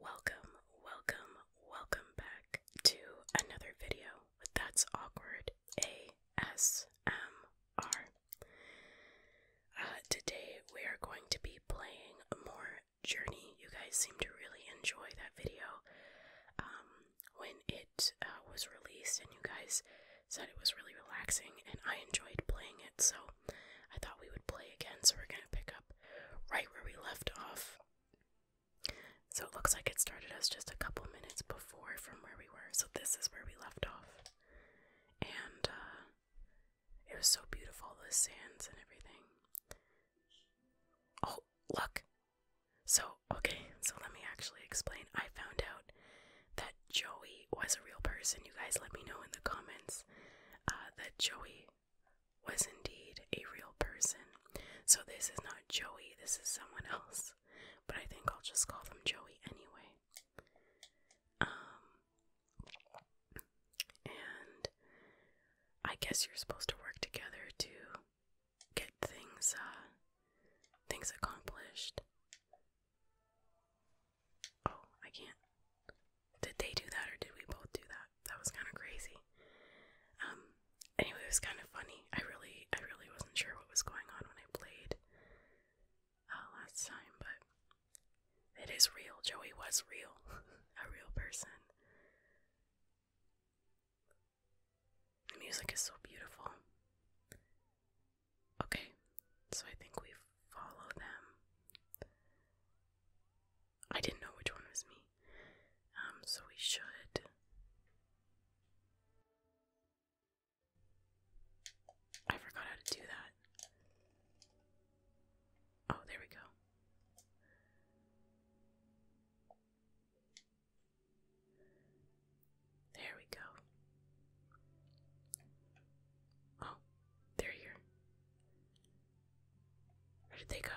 Welcome, welcome, welcome back to another video with That's Awkward ASMR. Uh, today we are going to be playing more Journey. You guys seem to really enjoy that video. Um, when it uh, was released, and you guys said it was really relaxing, and I enjoyed playing it, so I thought we would play again. So we're gonna pick up right where we left off. So it looks like it started us just a couple minutes before from where we were. So this is where we left off, and uh, it was so beautiful the sands and everything. Oh, look! So okay. So let me actually explain. I found out that Joey was a real person. You guys let me know in the comments uh, that Joey was indeed a real person. So this is not Joey, this is someone else. But I think I'll just call them Joey anyway. Um and I guess you're supposed to work together to get things uh things accomplished. Oh, I can't. Did they do that or did we both do that? That was kind of crazy. Um, anyway, it was kind of funny. I really, I really wasn't sure what was going on when I played uh, last time, but it is real. Joey was real, a real person. The music is so beautiful. Okay, so I think we follow them. I didn't know which one was me. Um, so we should. I forgot how to do that. Oh, there we go. There we go. Oh, they're here. Where did they go?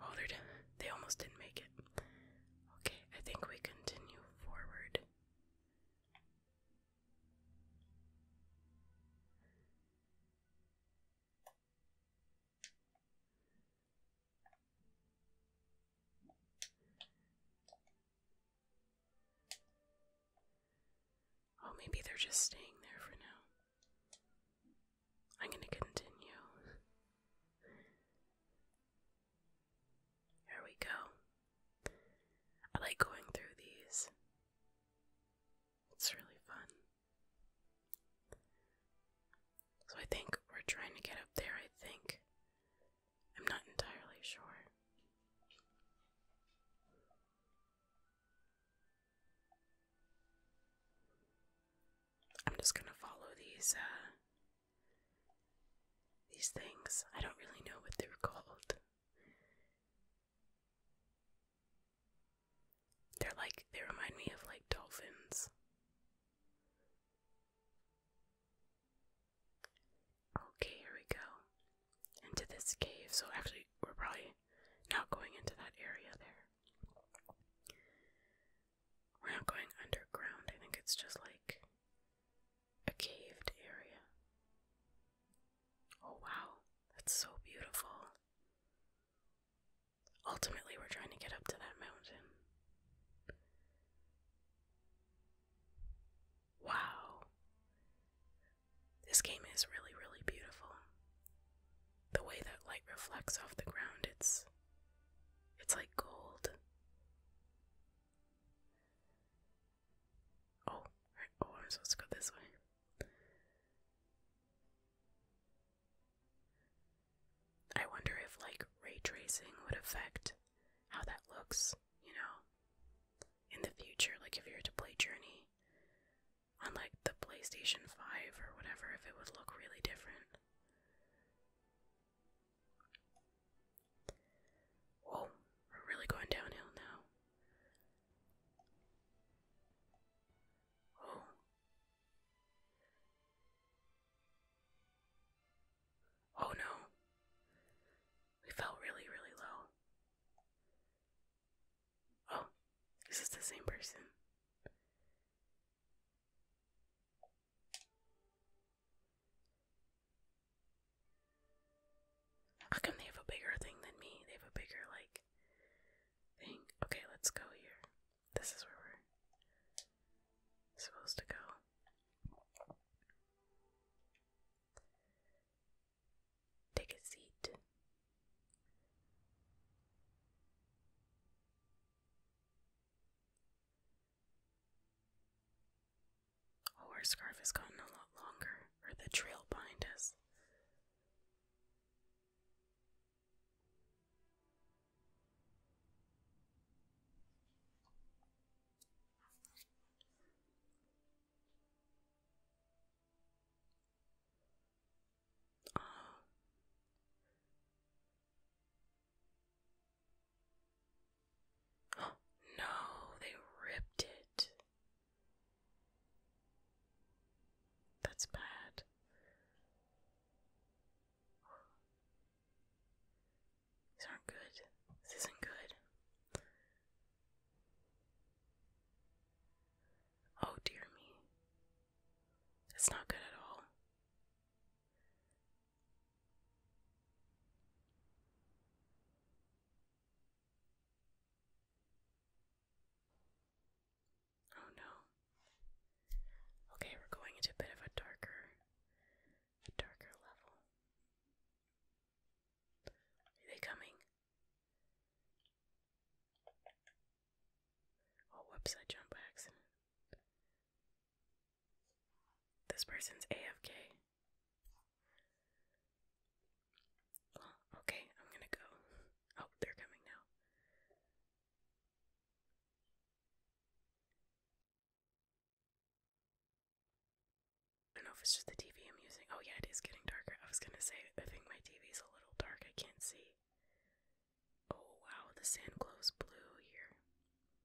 Oh, they're They almost didn't make it. Okay, I think we continue forward. Oh, maybe they're just staying there for now. I'm gonna continue. Here we go. I like going through these, it's really fun. So I think we're trying to get up there, I think. I'm not entirely sure. I'm just gonna follow these, uh, these things. I don't really know what they're called. They're like, they remind me of like dolphins. Okay, here we go. Into this cave. So actually, we're probably not going into that area there. We're not going underground. I think it's just like a caved area. Oh wow, that's so beautiful. Ultimately, we're trying to get up to that mountain. Wow. This game is really, really beautiful. The way that light reflects off the ground, it's it's like gold. Oh, oh, I'm supposed to go this way. I wonder if like ray tracing would affect how that looks you know, in the future, like if you were to play Journey on like the PlayStation 5 or whatever, if it would look really different. Whoa, we're really going downhill now. Oh no. We fell really, really low. Oh, is this the same person? How come they have a bigger thing than me? They have a bigger, like, thing. Okay, let's go here. This is where we're supposed to go. Take a seat. Oh, our scarf has gotten a lot longer, or the trail behind us. Oh. No, they ripped it. That's bad. These aren't good. This isn't good. Oh dear me. It's not good at all. Oh no. Okay, we're going into a bit of a darker a darker level. Are they coming? Oh, whoops, I accident. This person's AFK. okay, I'm gonna go. Oh, they're coming now. I don't know if it's just the TV I'm using. Oh, yeah, it is getting darker. I was gonna say, I think my TV's a little dark. I can't see. Oh, wow, the sand glows blue here.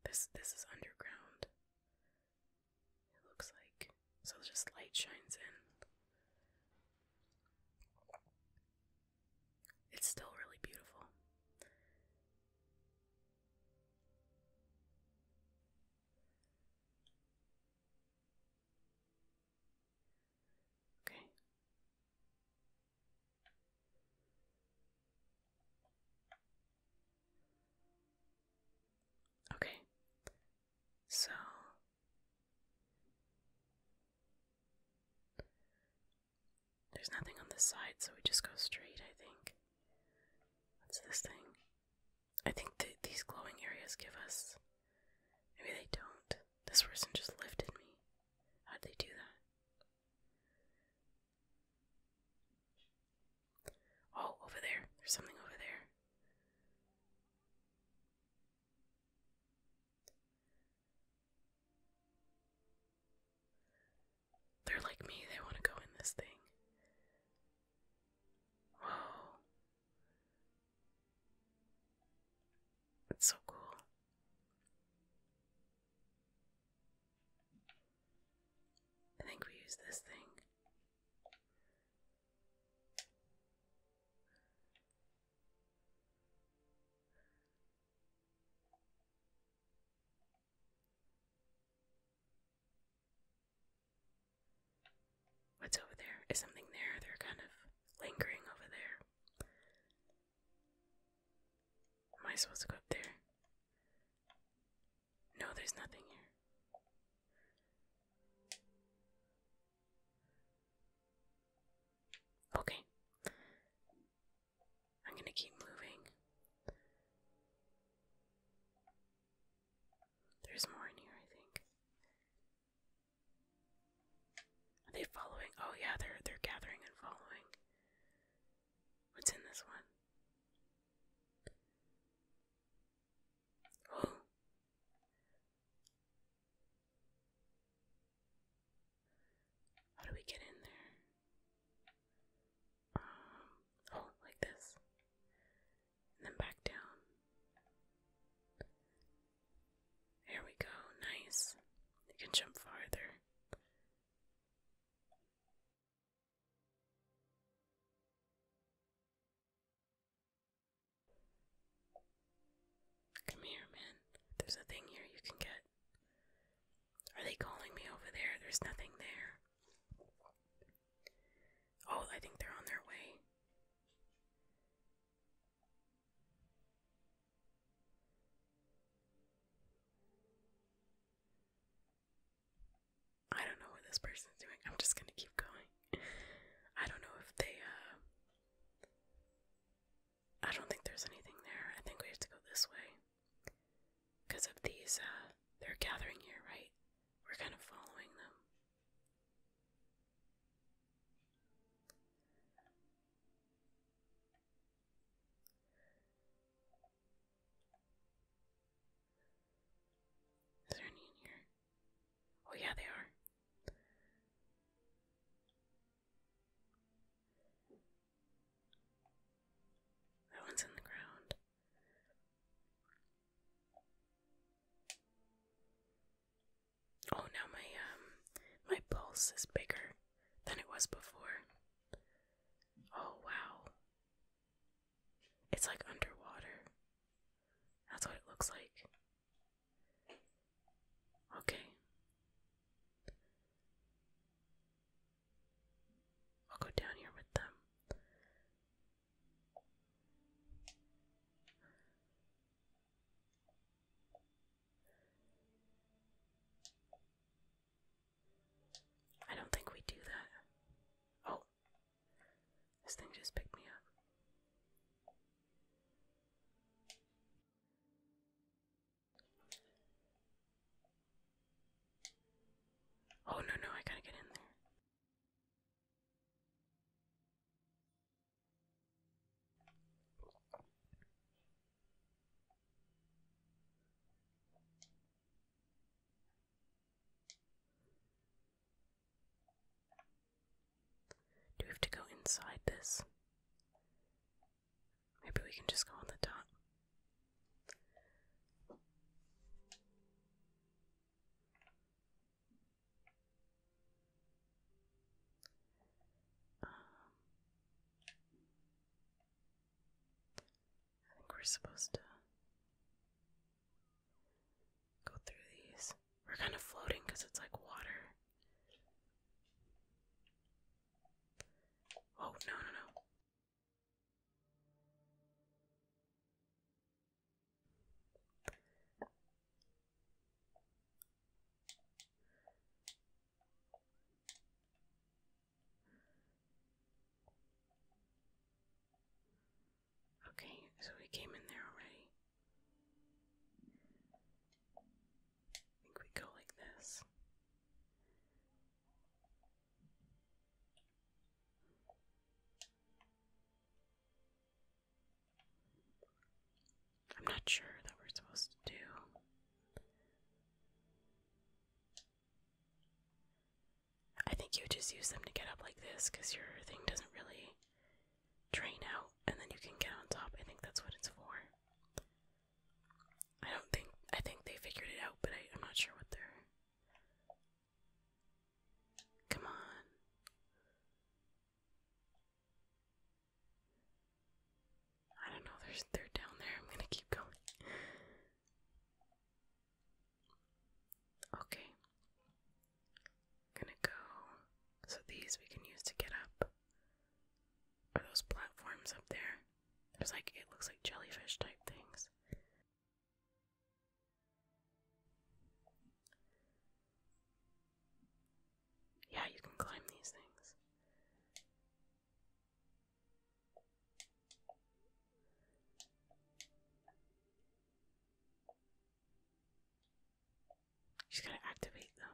This this is underground. It looks like so just light shines in. It's still really beautiful. Okay. Okay. So there's nothing on this side, so we just go straight, I think. What's this thing? I think that these glowing areas give us. Maybe they don't. This person just lifted me. How'd they do that? Oh, over there. There's something over there. They're like me, they want to go in this thing. Whoa. It's so cool. I think we use this thing. What's over there? Is something there? They're kind of lingering over there. Am I supposed to go up there? No, there's nothing here. Okay. I'm gonna keep moving. There's more in here, I think. Are they following? Oh yeah, they're they're gathering and following. What's in this one? Oh. How do we get in there? Um, oh, like this and then back down. There we go, nice. You can jump farther. Come here, man. There's a thing here you can get. Are they calling me over there? There's nothing there. Oh, I think they're on their way. I don't know what this person's doing. I'm just gonna keep going. I don't know if they, uh. I don't think there's anything there. I think we have to go this way because of these, uh, they're gathering here, right? We're kind of following them. Is there any in here? Oh, yeah, they are. That one's in the ground. Oh, now my um my pulse is bigger than it was before. Oh wow. It's like underwater. That's what it looks like. Okay. I'll go down here with them. I don't think we do that. Oh, this thing just picked me up. Oh, no, no, I gotta get in there. Do we have to go inside this? Maybe we can just go on the top. I think we're supposed to go through these. We're kind of floating because it's like water. Oh, no, no, no. Okay, so we came in there already. I think we go like this. I'm not sure that we're supposed to do. I think you just use them to get up like this because your thing doesn't really drain out and then you can get on top. I think that's what it's for. I don't think I think they figured it out, but I, am not sure what they're. Come on. I don't know, there's they're down there. I'm gonna keep going. Okay. Gonna go. So these we can use to get up. Are those platforms up there? There's like it looks like jellyfish type things. Yeah, you can climb these things. She's going to activate them.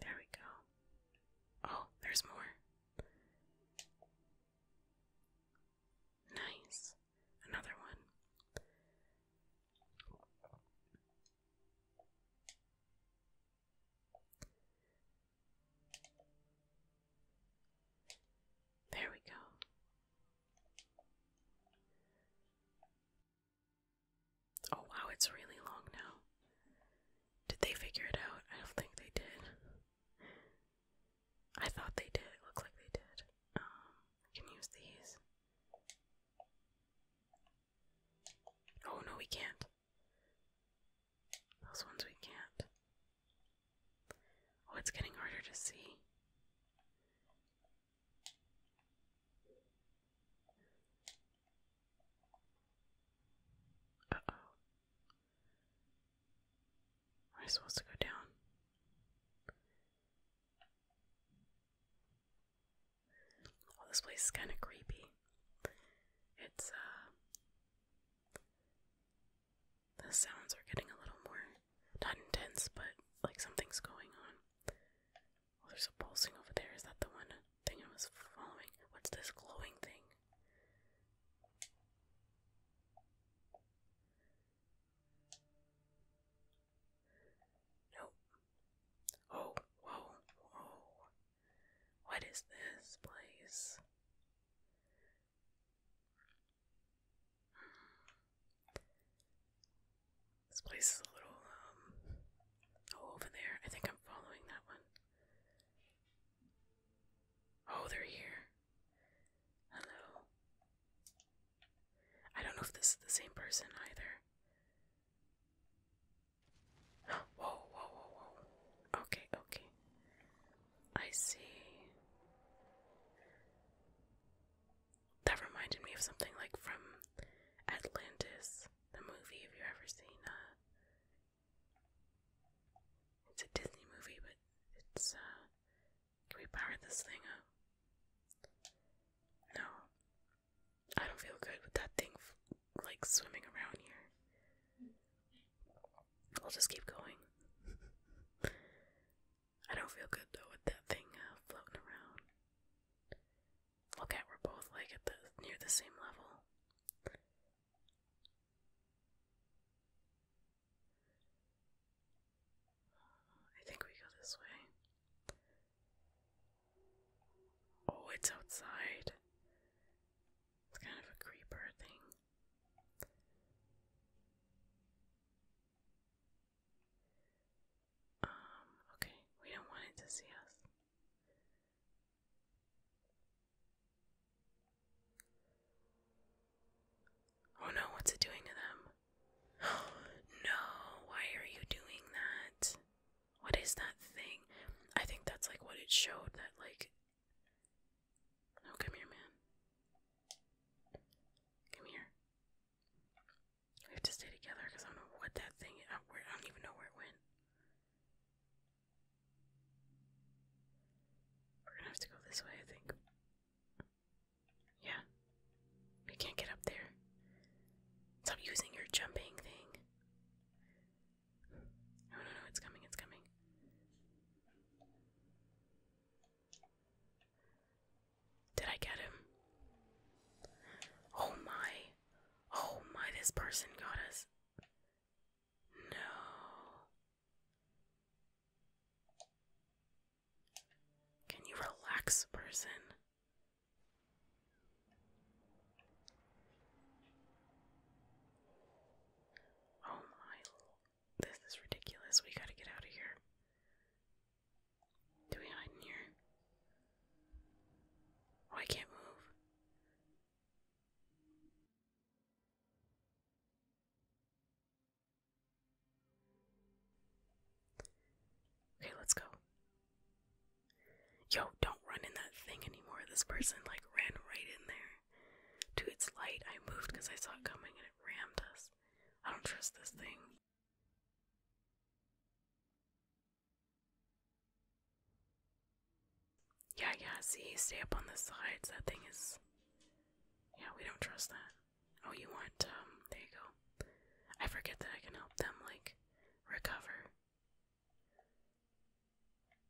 There we go. Oh, there's more. Nice. Another one. There we go. Oh wow, it's really long now. Did they figure it out? I don't think they did. I thought they did. It like they did. Um, can use these. Oh no, we can't. Those ones we can't. Oh, it's getting harder to see. Uh oh. Am I supposed to go down? Well, this place is kind of creepy. It's, uh. The sounds are getting a little more. Not intense, but like something's going on. Oh, there's a pulsing over there. Is that the one thing I was following? What's this glowing thing? Nope. Oh, whoa, whoa. What is this place? Hmm. This place is a little, um, oh, over there. I think I'm following that one. Oh, they're here. Hello. I don't know if this is the same person either. Whoa, whoa, whoa, whoa. Okay, okay. I see. That reminded me of something like from Atlantis the movie, if you ever seen uh, it's a Disney movie, but it's uh can we power this thing up? No. I don't feel good with that thing like swimming around here. We'll just keep going. I don't feel good though with that thing uh, floating around. Okay, we're both like at the near the same level. I think we go this way. Oh, it's outside. It's kind of a creeper thing. Um, okay, we don't want it to see us. Oh no, what's it doing to them? no, why are you doing that? What is that thing? I think that's like what it showed that, like. Oh, come here, man. Come here. We have to stay together because I don't know what that thing. I, don't even know where it went. We're gonna have to go this way, I think. Yeah. We can't get up there. Stop using your jumping thing. No, no, no, it's coming, it's coming. Did I get him? Oh my. Oh my, this person got us. No. Can you relax, person? Oh my, this is ridiculous. We gotta get out of here. Do we hide in here? Oh, I can't move. Okay, let's go. Yo, don't run in that thing anymore. This person like ran right in there to its light. I moved because I saw it coming and it rammed us. I don't trust this thing. Yeah, yeah, see, stay up on the sides. That thing is. Yeah, we don't trust that. Oh, you want, um, there you go. I forget that I can help them, like, recover.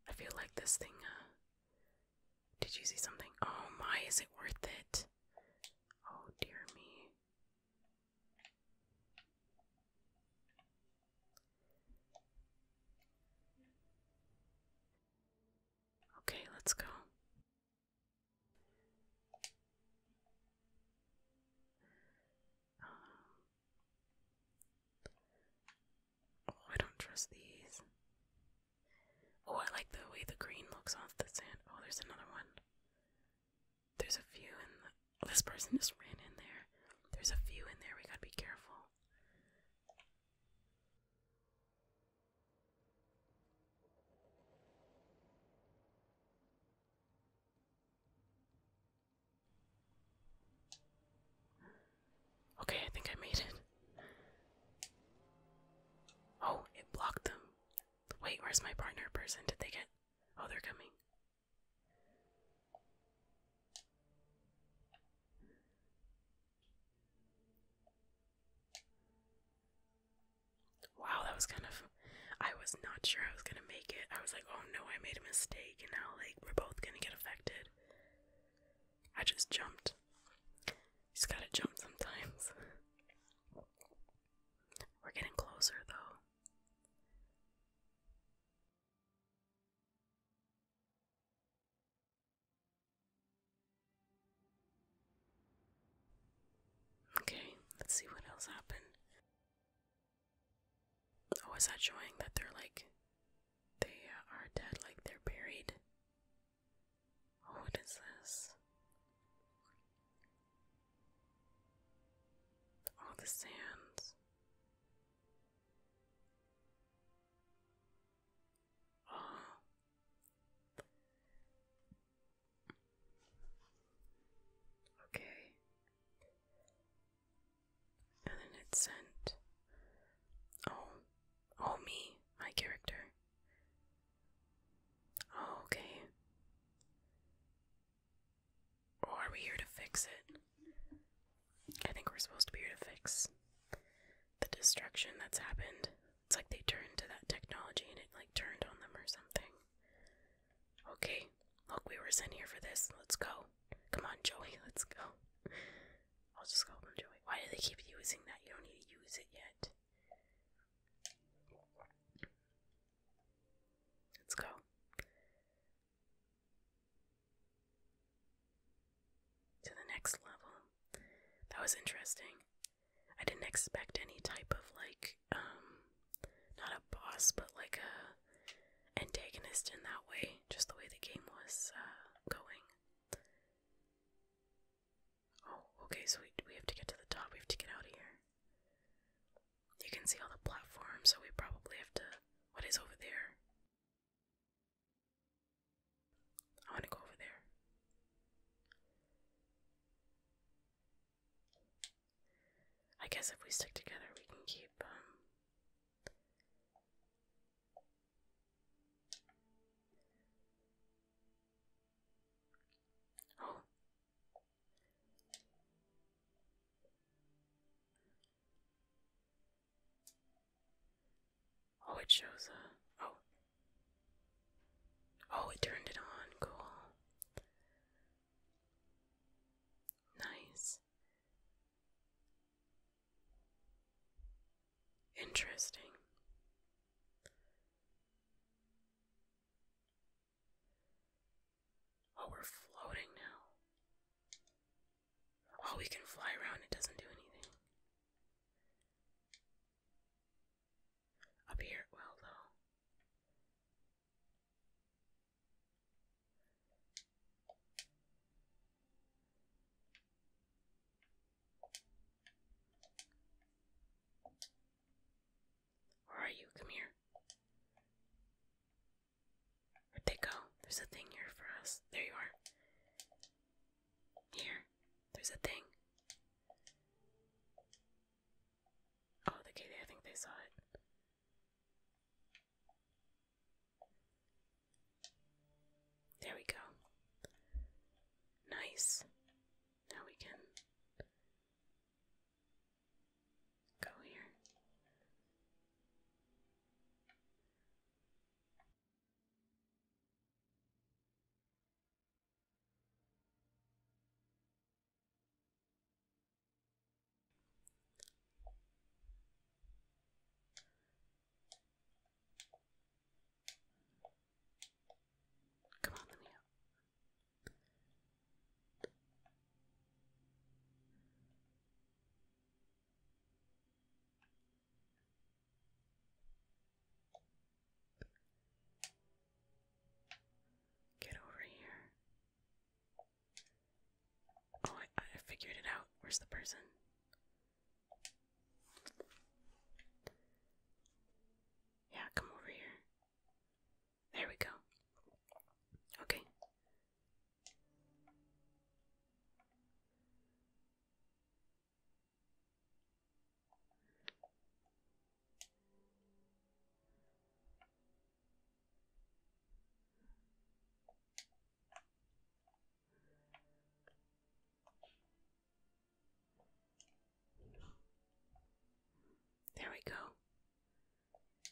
I feel like this thing, uh. Did you see something? Oh my, is it worth it? Oh dear me. Okay, let's go. Um, oh, I don't trust these. Oh, I like the way the green looks off the sand. Oh, there's another one. There's a few in the. this person just ran in there. There's a few in there. We gotta be careful. Okay, I think I made it. Oh, it blocked them. Wait, where's my partner person? Did they get. Oh, they're coming. Wow, that was kind of. I was not sure I was gonna make it. I was like, oh no, I made a mistake, and now, like, we're both gonna get affected. I just jumped. You just gotta jump sometimes. we're getting closer, though. Okay, let's see what else happened. Oh, is that showing that they're like. They uh, are dead, like they're buried? Oh, what is this? Oh, the sands. Okay. And then it sent Oh oh me, my character. Oh, okay. Or are we here to fix it? I think we're supposed to be here to fix the destruction that's happened. It's like they turned to that technology and it like turned on them or something. Okay, look, we were sent here for this. Let's go. Come on, Joey, let's go. I'll just call him Joey. Why do they keep using that? You don't need to use it yet. Let's go to the next level. That was interesting. I didn't expect any type of like um not a boss but like a antagonist in that way, just the way the game was uh going. Oh, okay, so we we have to get to the top, we have to get out of here. You can see all the platforms, so we probably have to. What is over there? I want to go over there. I guess if we stick together, we can keep, um. Oh. Oh, it shows a. Oh. Oh, it turned it on. Cool. Nice. Interesting. Oh, we're floating now. Oh, we can fly around, it doesn't do anything. Up here, well, though. Where are you? Come here. Where'd they go? There's a thing here for us. There you are. Here. There's a thing. Oh, okay, I think they saw it. There we go. Nice. Now we can Go here. Come on, let Get over here. Oh, I, figured it out. Where's the person? Yeah, come over here. There we go. Okay. There we go.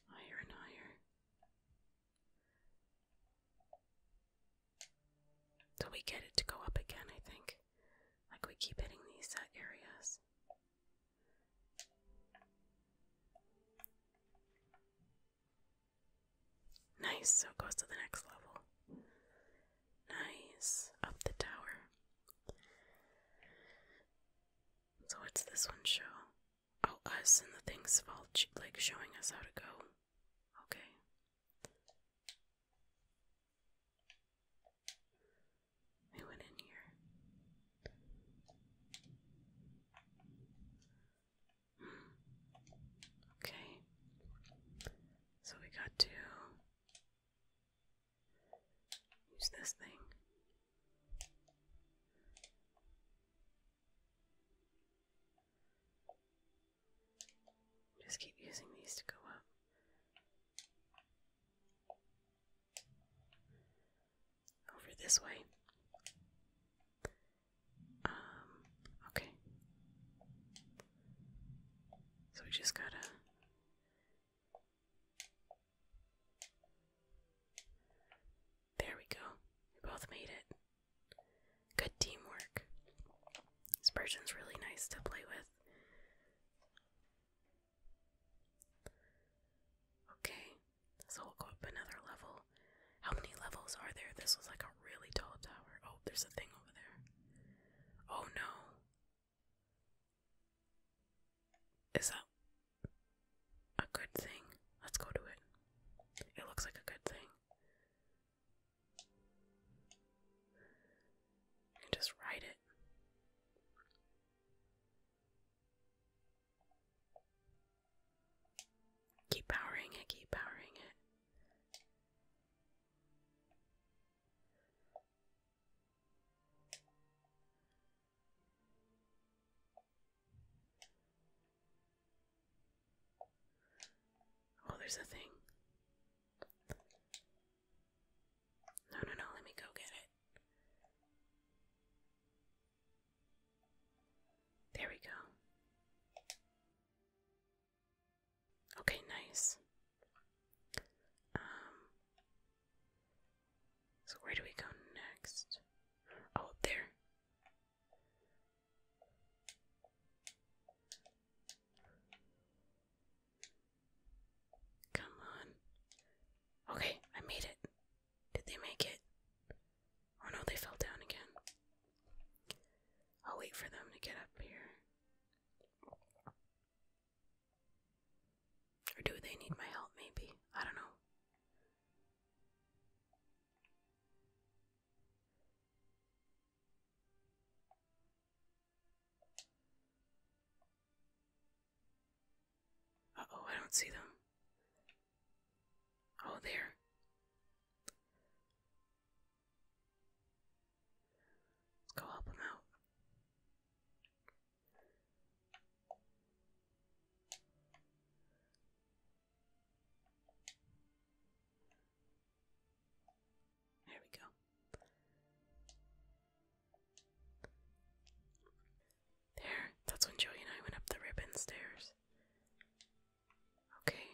Higher and higher. So we get it to go up again, I think. Like we keep hitting these uh, areas. Nice, so close to the next level. Nice, up the tower. So, what's this one show? Oh, us and the thing's fault, like showing us how to go. Okay. We went in here. Okay. So we got to use this thing. Just keep using these to go up. Over this way. Um, okay. So we just gotta. There we go. We both made it. Good teamwork. This Spurgeon's really nice to play with. Okay, so we'll go up another level. How many levels are there? This was like a really tall tower. Oh, there's a thing over there. Oh no. Is that a good thing. Let's go to it. It looks like a good thing. just ride it. Keep powering it, keep powering it. Oh, there's a thing. No, no, no, let me go get it. There we go. Okay, nice. Um, so where do we go next? Oh, there. Come on. Okay, I made it. Did they make it? Oh no, they fell down again. I'll wait for them to get up here. Or do they need my help, maybe? I don't know. Uh oh, I don't see them. Oh, there. Let's go help him out. There we go. There, that's when Joey and I went up the ribbon stairs. Okay,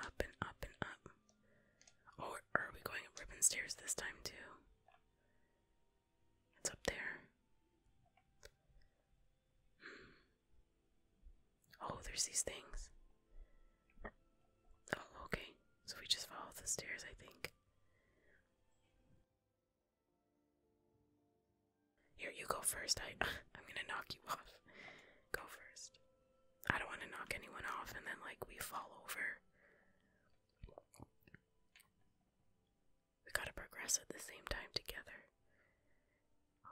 up and up and up. Oh, are we going up ribbon stairs this time too? It's up there. Hmm. Oh, there's these things. Oh, okay. So we just follow the stairs, I think. Here, you go first. I, I'm gonna knock you off. Go first. I don't want to knock anyone off and then, like, we fall over. We gotta progress at the same time together.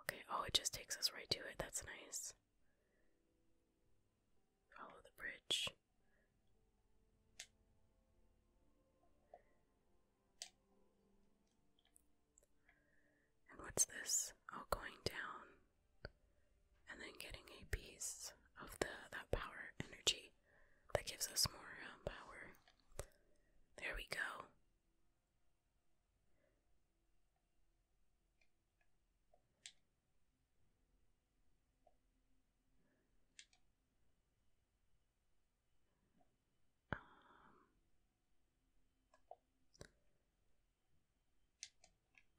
Okay, oh, it just takes us right to it. That's nice. Follow the bridge. And what's this? Oh, going down and then getting a piece of the that power energy that gives us more um, power. There we go.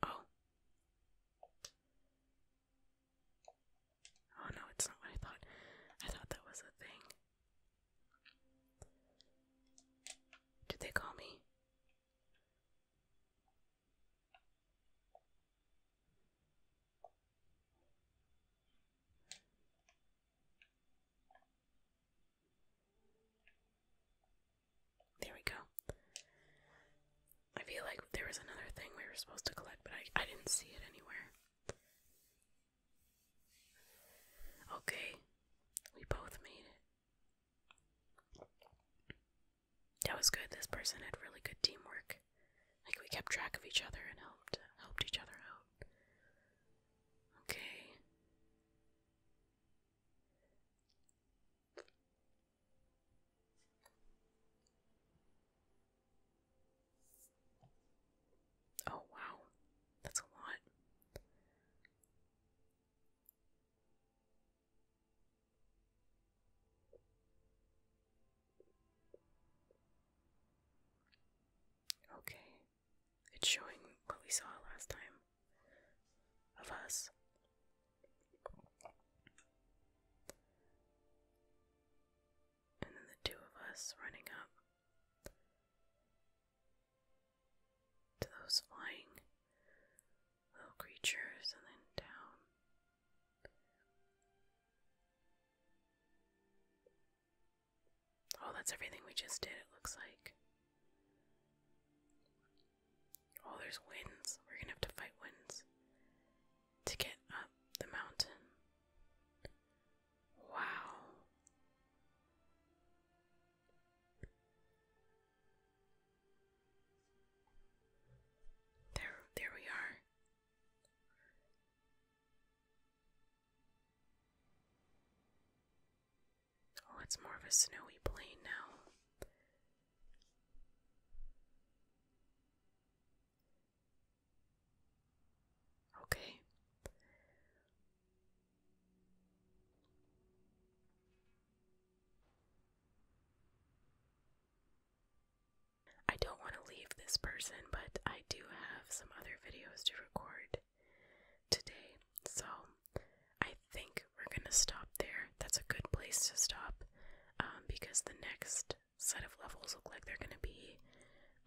Um, oh. Oh no, it's not what I thought. I thought that was a thing. Did they call me? There we go. I feel like there was another thing we were supposed to collect, but I, I didn't see it anywhere. Okay, we both made it. That was good. This person had really good teamwork. Like we kept track of each other and helped helped each other out. Okay. Oh wow. That's a lot. Okay, it's showing what we saw last time of us. And then the two of us running up to those flying little creatures and then down. Oh, that's everything we just did, it looks like. Oh, there's winds. We're gonna have to fight winds to get up the mountain. Wow. There, there we are. Oh, it's more of a snowy plain now. Okay. I don't want to leave this person, but I do have some other videos to record today, so I think we're going to stop there. That's a good place to stop um, because the next set of levels look like they're going to be,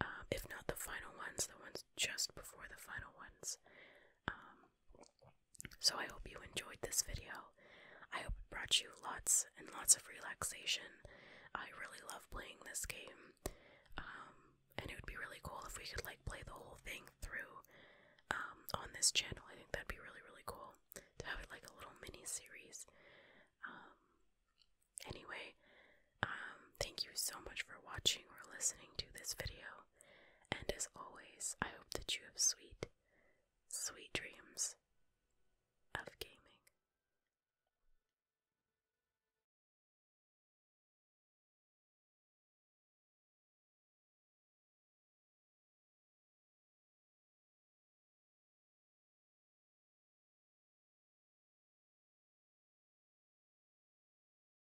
um, if not the final ones, the ones just before the final ones. Um, so I hope you enjoyed this video. I hope it brought you lots and lots of relaxation. I really love playing this game. Um, and it would be really cool if we could like play the whole thing through um, on this channel. I think that'd be really, really cool to have like a little mini series. Um, anyway, thank you so much for watching or listening to this video. And as always, I hope that you have sweet, sweet dreams of gaming.